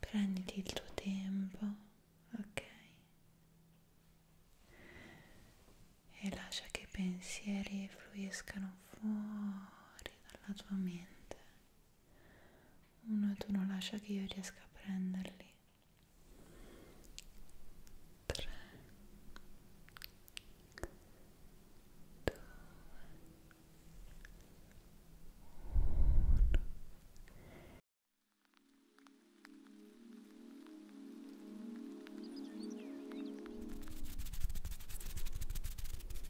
Prenditi il tuo tempo, ok? E lascia che i pensieri fluiscano fuori dalla tua mente uno tu non lascia che io riesca a prenderli 3 2 1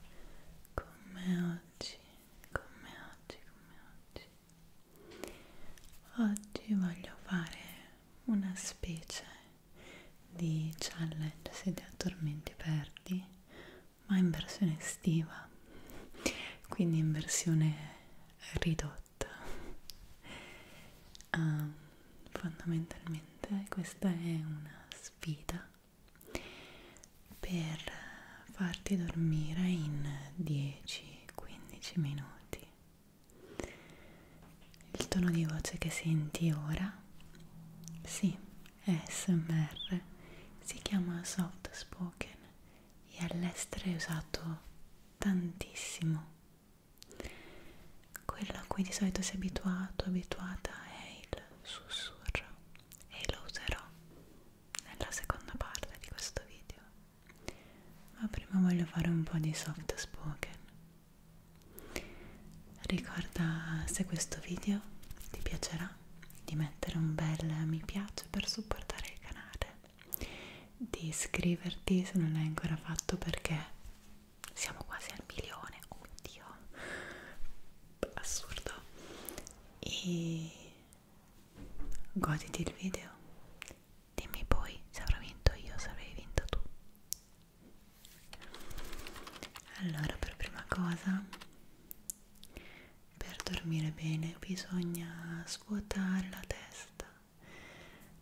qui con me oggi, con me oggi, con me oggi. Oggi voglio fare una specie di challenge se ti addormenti perdi, ma in versione estiva, quindi in versione ridotta. Um, fondamentalmente questa è una sfida per farti dormire in 10-15 minuti. Il tono di voce che senti ora, sì, SMR, si chiama soft spoken e all'estero è usato tantissimo. Quello a cui di solito sei abituato, abituata è il sussurro e lo userò nella seconda parte di questo video ma prima voglio fare un po' di soft spoken ricorda se questo video ti piacerà di mettere un bel mi piace per supportare il canale di iscriverti se non l'hai ancora fatto perché siamo quasi al milione, oh mio dio, assurdo, e goditi il video, dimmi poi se avrò vinto io, se avrai vinto tu. Allora, per prima cosa, per dormire bene bisogna svuotare la testa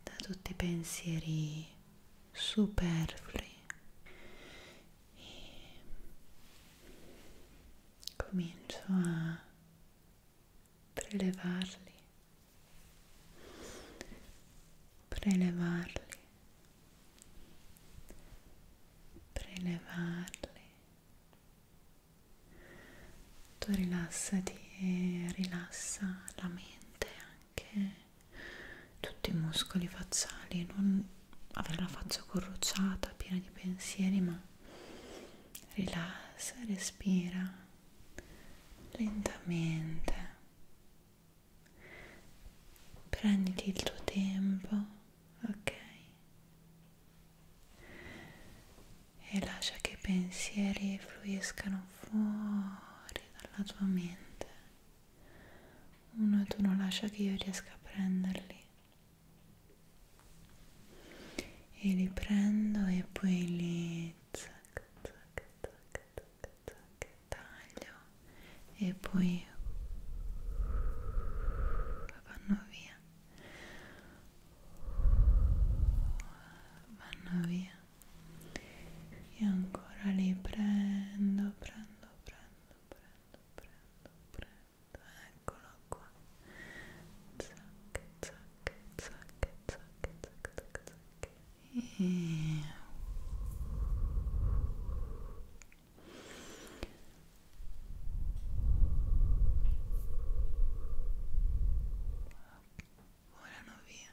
da tutti i pensieri superflui e comincio a prelevarli, prelevarli, prelevarli. Tu rilassati e rilassa la mente anche tutti i muscoli facciali, non avere la faccia corrucciata, piena di pensieri, ma rilassa, respira lentamente. Prenditi il tuo tempo, ok? E lascia che i pensieri fluiscano fuori dalla tua mente uno tu non lascia che io riesca a prenderli e li prendo e poi li zac, zac, zac, zac, zac, taglio e poi vanno via vanno via e ancora li prendo prendo prendo prendo, prendo, prendo, eccolo qua. Zac, zac, zac, zac, zac, zac, zac. E... Volano via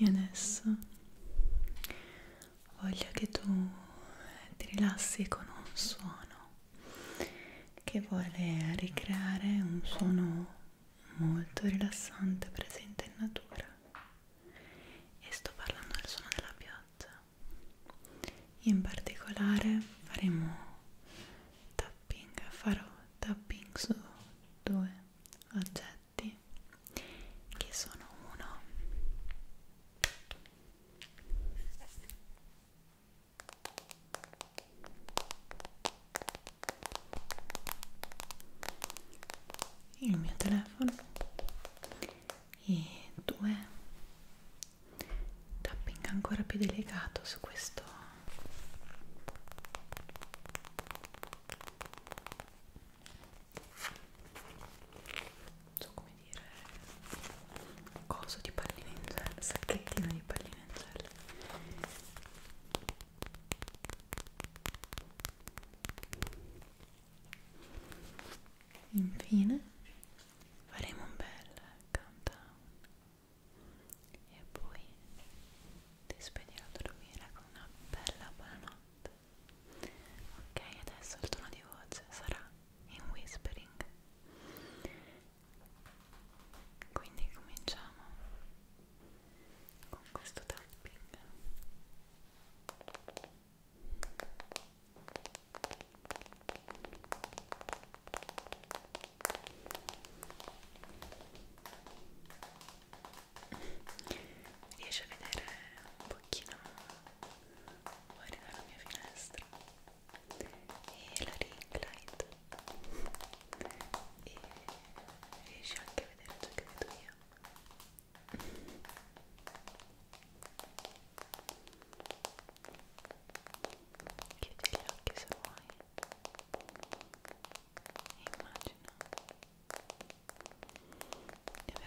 E adesso voglio che tu ti rilassi con un suono che vuole ricreare un suono molto rilassante presente in natura e sto parlando del suono della pioggia in particolare faremo tapping farò tapping su due oggetti che sono uno il mio telefono e due tapping ancora più delicato su questo non so come dire coso di palline in gel sacchettino di palline in gel Infine faremo un bel countdown e poi ti spedirò a dormire con una bella buonanotte. Ok, adesso il tono di voce sarà in whispering. Quindi cominciamo con questo tapping riesci a vedere un pochino fuori dalla mia finestra e la ring light e riesci anche a vedere ciò che vedo io Chiudi gli occhi se vuoi Immagina di avere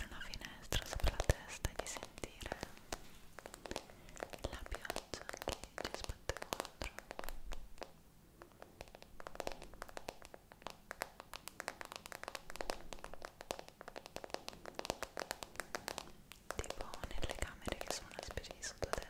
una finestra sopra la testa e di sentire la pioggia che ci sbatte contro tipo nelle camere che sono una specie di sottotetto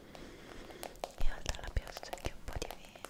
e oltre alla pioggia anche un po' di vento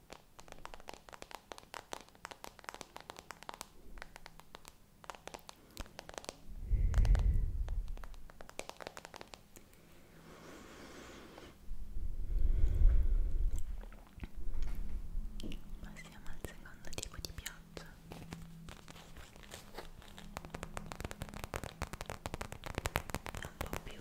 Passiamo al secondo tipo di pioggia. È un po' più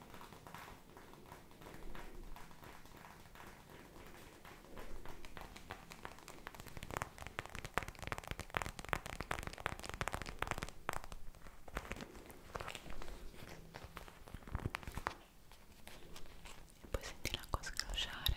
e poi senti l'acqua scrosciare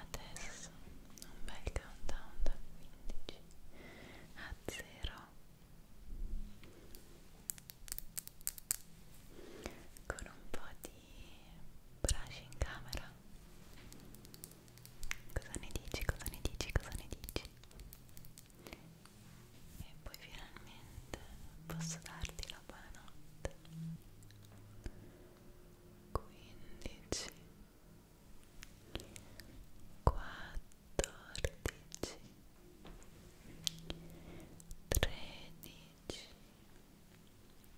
Adesso un bel countdown da 15 a 0 con un po' di brush in camera Cosa ne dici? Cosa ne dici? Cosa ne dici? E poi finalmente posso darti la buonanotte. 15 14 13 12 11 10 9 8 7 6 5 4 3 2 1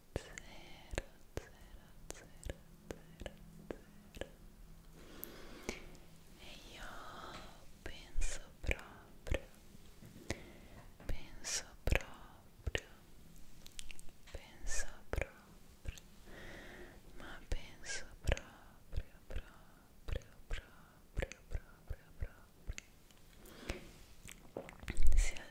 zero, zero, zero, zero. E io penso proprio, penso proprio, penso proprio, ma penso proprio, proprio, proprio, proprio, proprio. Sia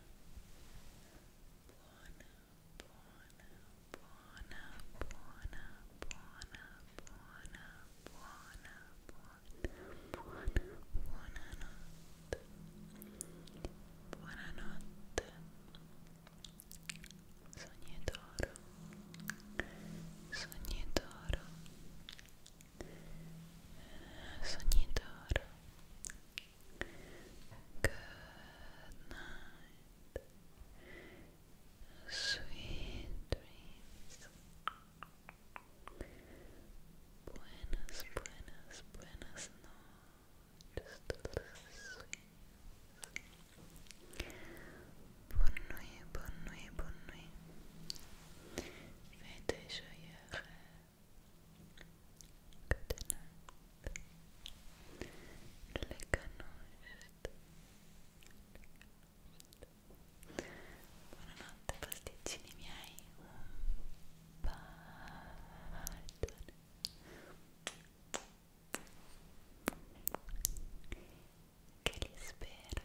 buona, buona, buona, buona, buona, buona, buona, buona, buona notte, buona notte, sognatoro, sognatoro, sognatoro. Good night. Sweet dreams. Buenas, buenas, buenas noches. Bonne nuit, bonne nuit, bonne nuit. Fais tes joyeux rêves. Good night. Le cannoiste. Buonanotte pasticcini miei. Un bacione. Che li spera.